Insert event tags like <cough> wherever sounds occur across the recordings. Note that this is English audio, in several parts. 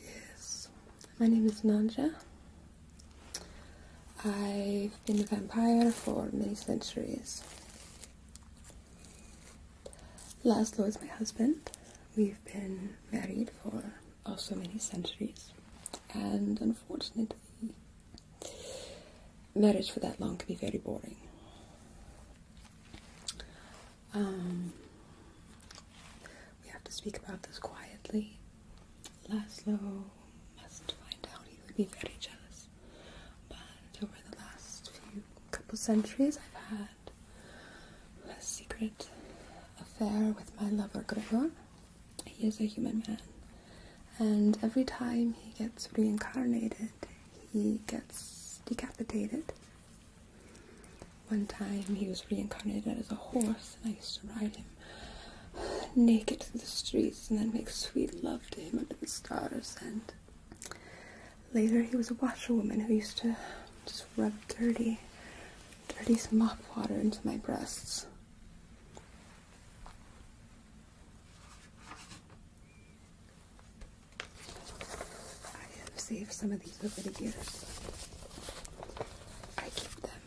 Yes, my name is Nanja. I've been a vampire for many centuries. Laszlo is my husband. We've been married for also oh, many centuries, and unfortunately, Marriage for that long can be very boring. Um, we have to speak about this quietly. Laszlo must find out he would be very jealous. But over the last few couple centuries, I've had a secret affair with my lover Gregor he is a human man. And every time he gets reincarnated, he gets decapitated. One time he was reincarnated as a horse, and I used to ride him naked through the streets and then make sweet love to him under the stars. And later he was a washerwoman who used to just rub dirty, dirty mop water into my breasts. I have saved some of these over the years. I keep them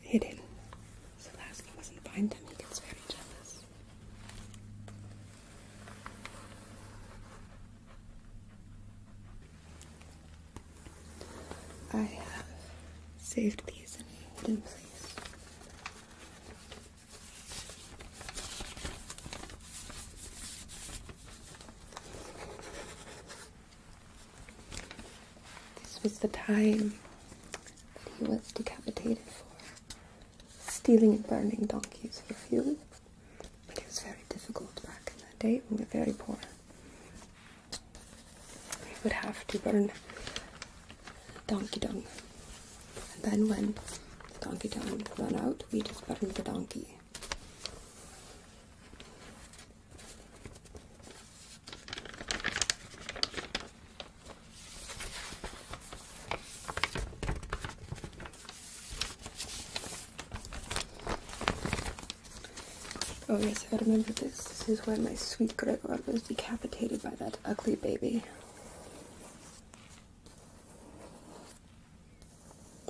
hidden. So Laszlo doesn't find them, he gets very jealous. I have saved these in a hidden place. This was the time that he was decapitated for stealing and burning donkeys for fuel. But it was very difficult back in that day. We were very poor. We would have to burn Donkey Dung. And then when the Donkey Dung run out, we just burn the donkey. Oh yes, I remember this. This is why my sweet Gregor was decapitated by that ugly baby.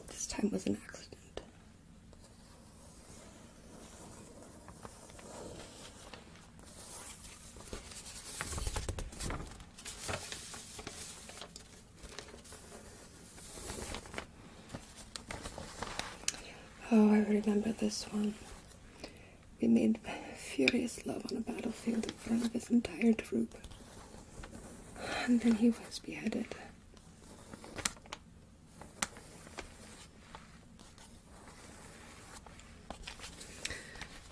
This time was an accident. Oh, I remember this one. We made furious love on a battlefield in front of his entire troop. And then he was beheaded.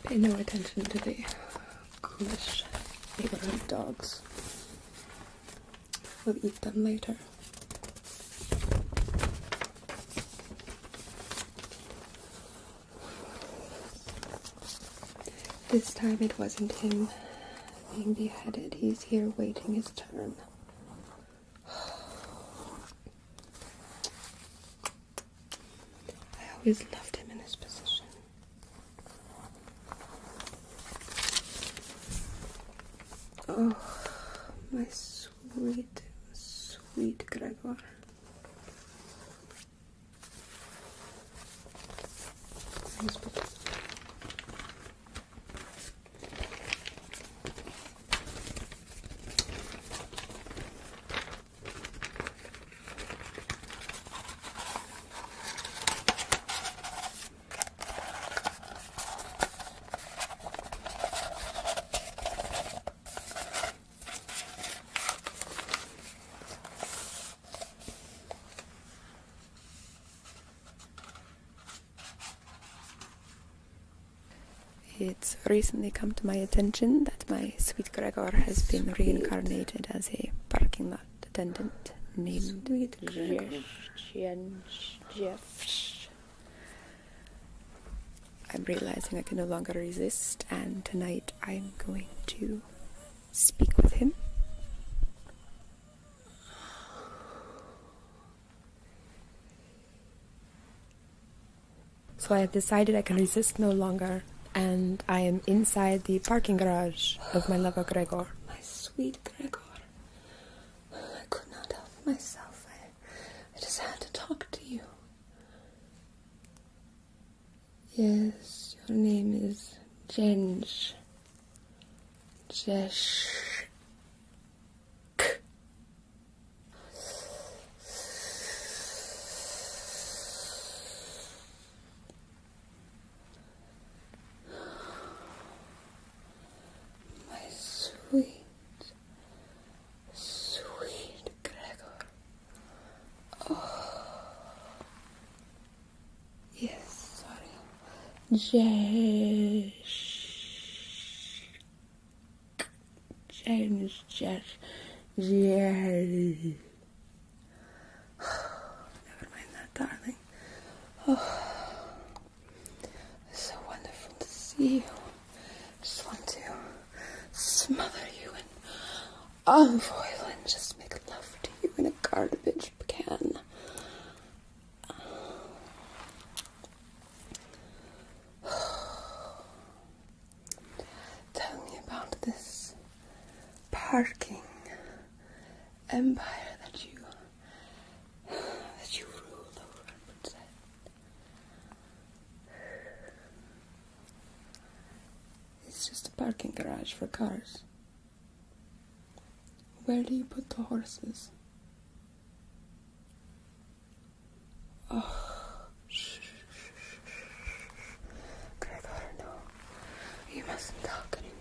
Pay no attention to the ghoulish ignorant dogs. We'll eat them later. This time it wasn't him being beheaded. He's here waiting his turn. I always loved him in this position. Oh, my sweet, sweet Gregor. It's recently come to my attention that my sweet Gregor has been reincarnated as a parking lot attendant named Sweet Gregor. I'm realizing I can no longer resist, and tonight I'm going to speak with him. So I have decided I can resist no longer, and I am inside the parking garage of my lover Gregor. My sweet Gregor. I could not help myself. I, I just had to talk to you. Yes, your name is Jenj. Jesh my sweet, sweet Gregor. Oh, yes, sorry, Jesh, James, Jesh, Jerry. <sighs> Never mind that, darling. <sighs> Oh. It's so wonderful to see you. just want to smother you in olive oil and just make love to you in a garbage can. <sighs> Tell me about this parking empire that you that <sighs> you rule over It's just a parking garage for cars. Where do you put the horses? Oh, shh, shh, shh, shh. Gregor, no. You mustn't talk anymore.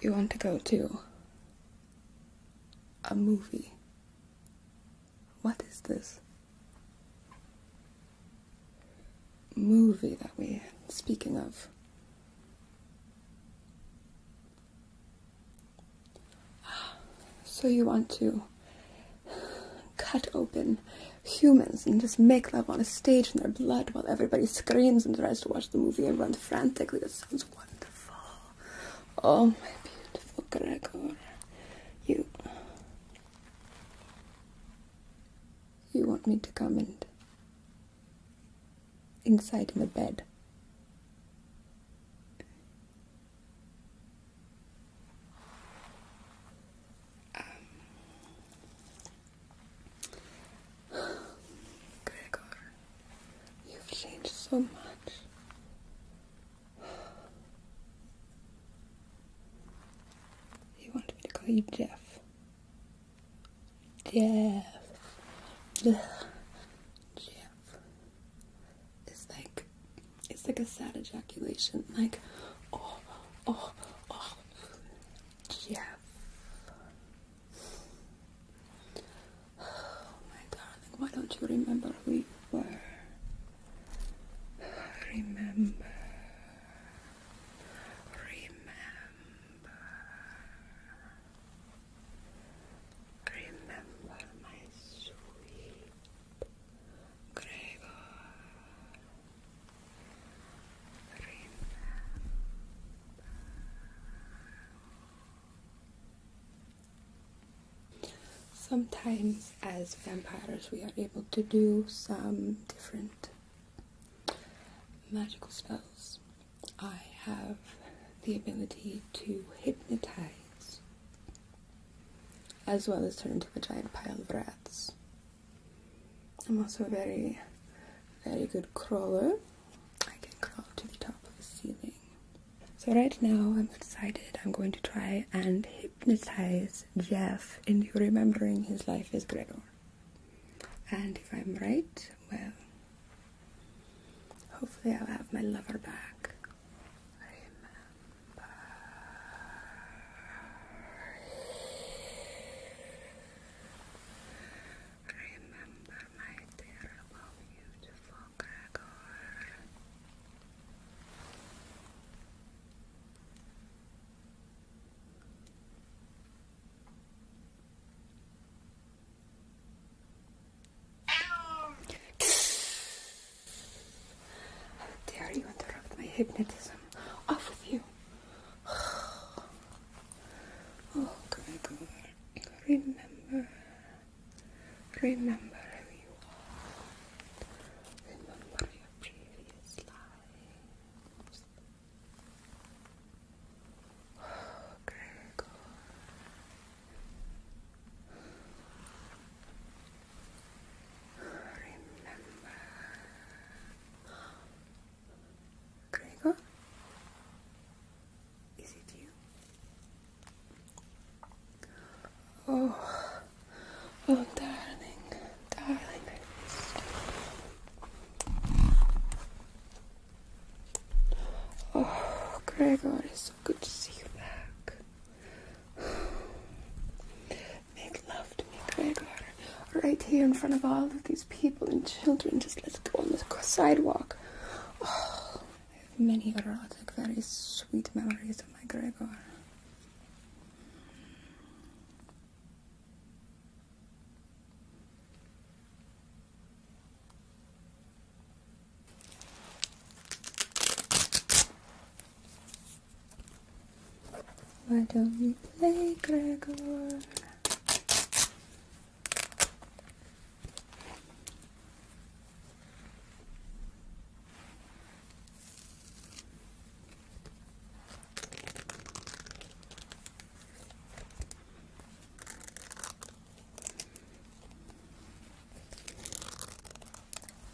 You want to go to a movie. What is this movie that we're speaking of? <gasps> So you want to cut open humans and just make love on a stage in their blood while everybody screams and tries to watch the movie and runs frantically. That sounds wonderful. Oh, my beautiful Gregor. You. You want me to come in inside my bed. Gregor, you've changed so much. You want me to call you Jeff. Jeff. Jeff is like it's like a sad ejaculation. Like oh oh oh Jeff. Oh my darling, why don't you remember who you were? Remember Remember Remember my sweet Sometimes as vampires we are able to do some different magical spells. I have the ability to hypnotize as well as turn into a giant pile of rats. I'm also a very, very good crawler. I can crawl to the top of the ceiling. So right now I'm decided I'm going to try and hypnotize Jeff into remembering his life as Gregor. And if I'm right, well, hopefully I'll have my lover back. Remember. Remember my terrible, beautiful Gregor. How dare you interrupt my hypnotism? Off with you! <sighs> Oh, God, Remember. Remember who you are. Remember your previous lives. <sighs> Oh, Gregor remember. Gregor, is it you? Oh, oh, darling, darling, Oh, Gregor, it's so good to see you back. Make love to me, Gregor, right here in front of all of these people and children. Just let it go on the sidewalk. Oh, I have many erotic, very sweet memories of my Gregor. Why don't we play Gregor?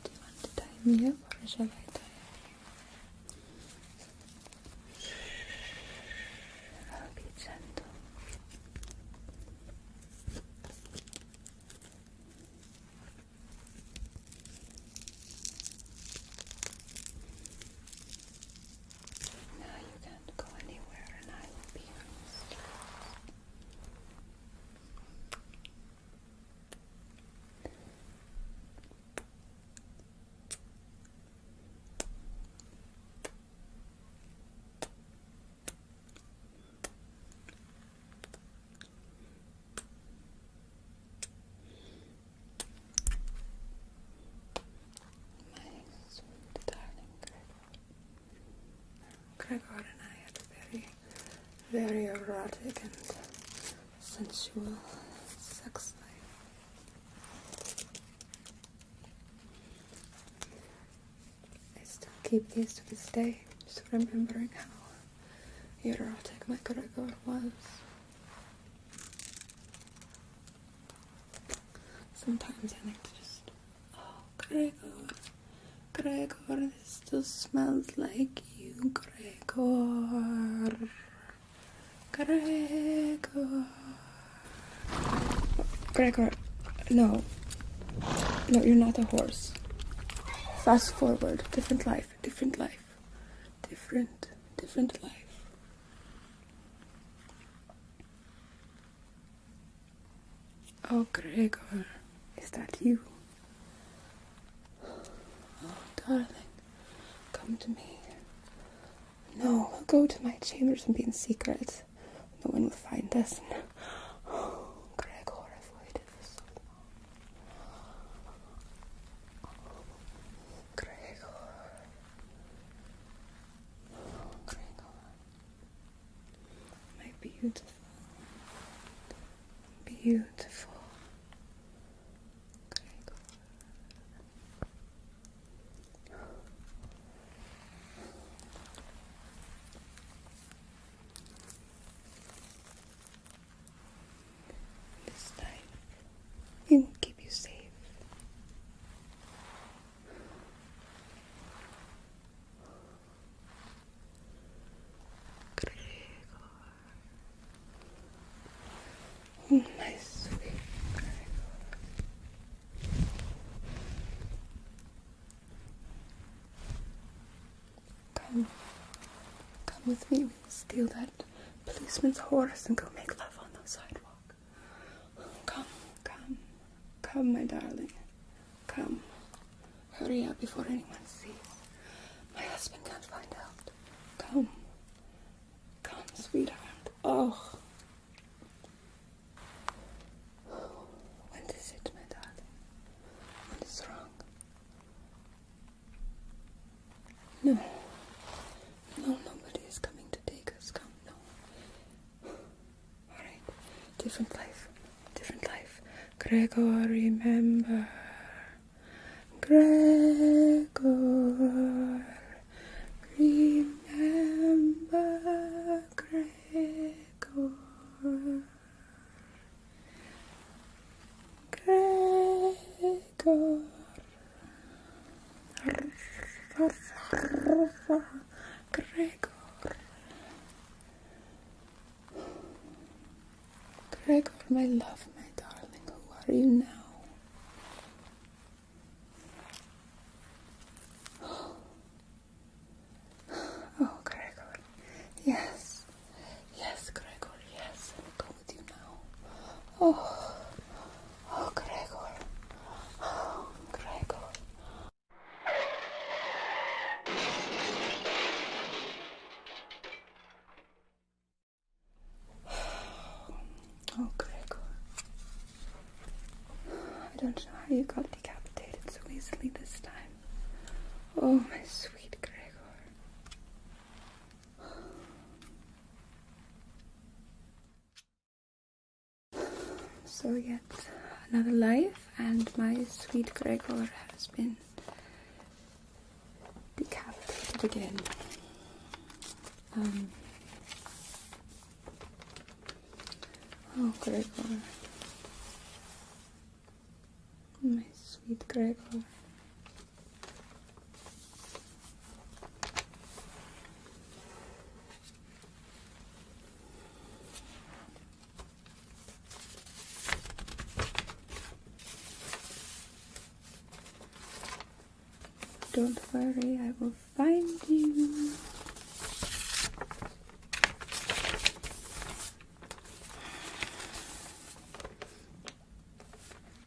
Do you want to die here or shall I die? up? i Now you can't go anywhere and I will be your my sweet darling Gregor. Gregor and I had a very very erotic and sensual sex life. I still keep these to this day, just remembering how erotic my Gregor was. Sometimes I like to just Oh, Gregor, Gregor, this still smells like you, Gregor. Gregor. Gregor, no. No, you're not a horse. Fast forward, different life, different life, different, different life. Oh, Gregor, is that you? Oh, darling, come to me. No, go to my chambers and be in secret. No one will find us. <gasps> Gregor, I've waited for so long. Gregor. Gregor. My beautiful, beautiful This time, will keep you safe. Come. Come with me. We will steal that policeman's horse and go make love on the sidewalk. Come, come, come, my darling. Come, hurry up before anyone sees. My husband can't find out. Come, come, sweetheart. Oh. What is it, my darling? What is wrong? No. No, nobody is coming to take us. Come, no different life, different life. Gregor, remember. Gregor, remember. Gregor. Gregor. Gregor, my love, my darling, who are you now? <gasps> Oh, Gregor, yes, yes, Gregor, yes, I'll go with you now. Oh, oh, Gregor, oh, Gregor. <sighs> Oh, Gregor. I don't know how you got decapitated so easily this time. Oh, my sweet Gregor. So yet another life and my sweet Gregor has been decapitated again. Um, oh Gregor, my sweet Gregor. Don't worry, I will find you.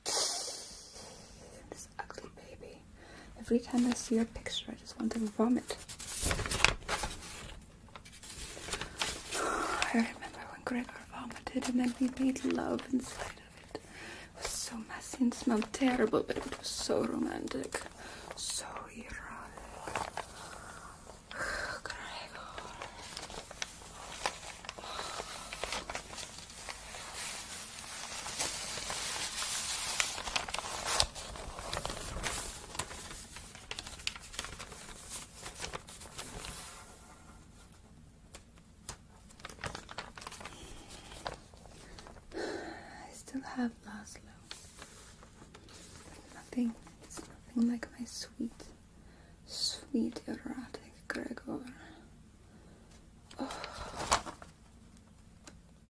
<sighs> This ugly baby. Every time I see your picture, I just want to vomit. <sighs> I remember when Gregor vomited and then we made love inside of it. It was so messy and smelled terrible, but it was so romantic. So erotic. <sighs> Gregor. I still have Laszlo. Nothing, it's nothing like my sweet, sweet erotic Gregor. Oh.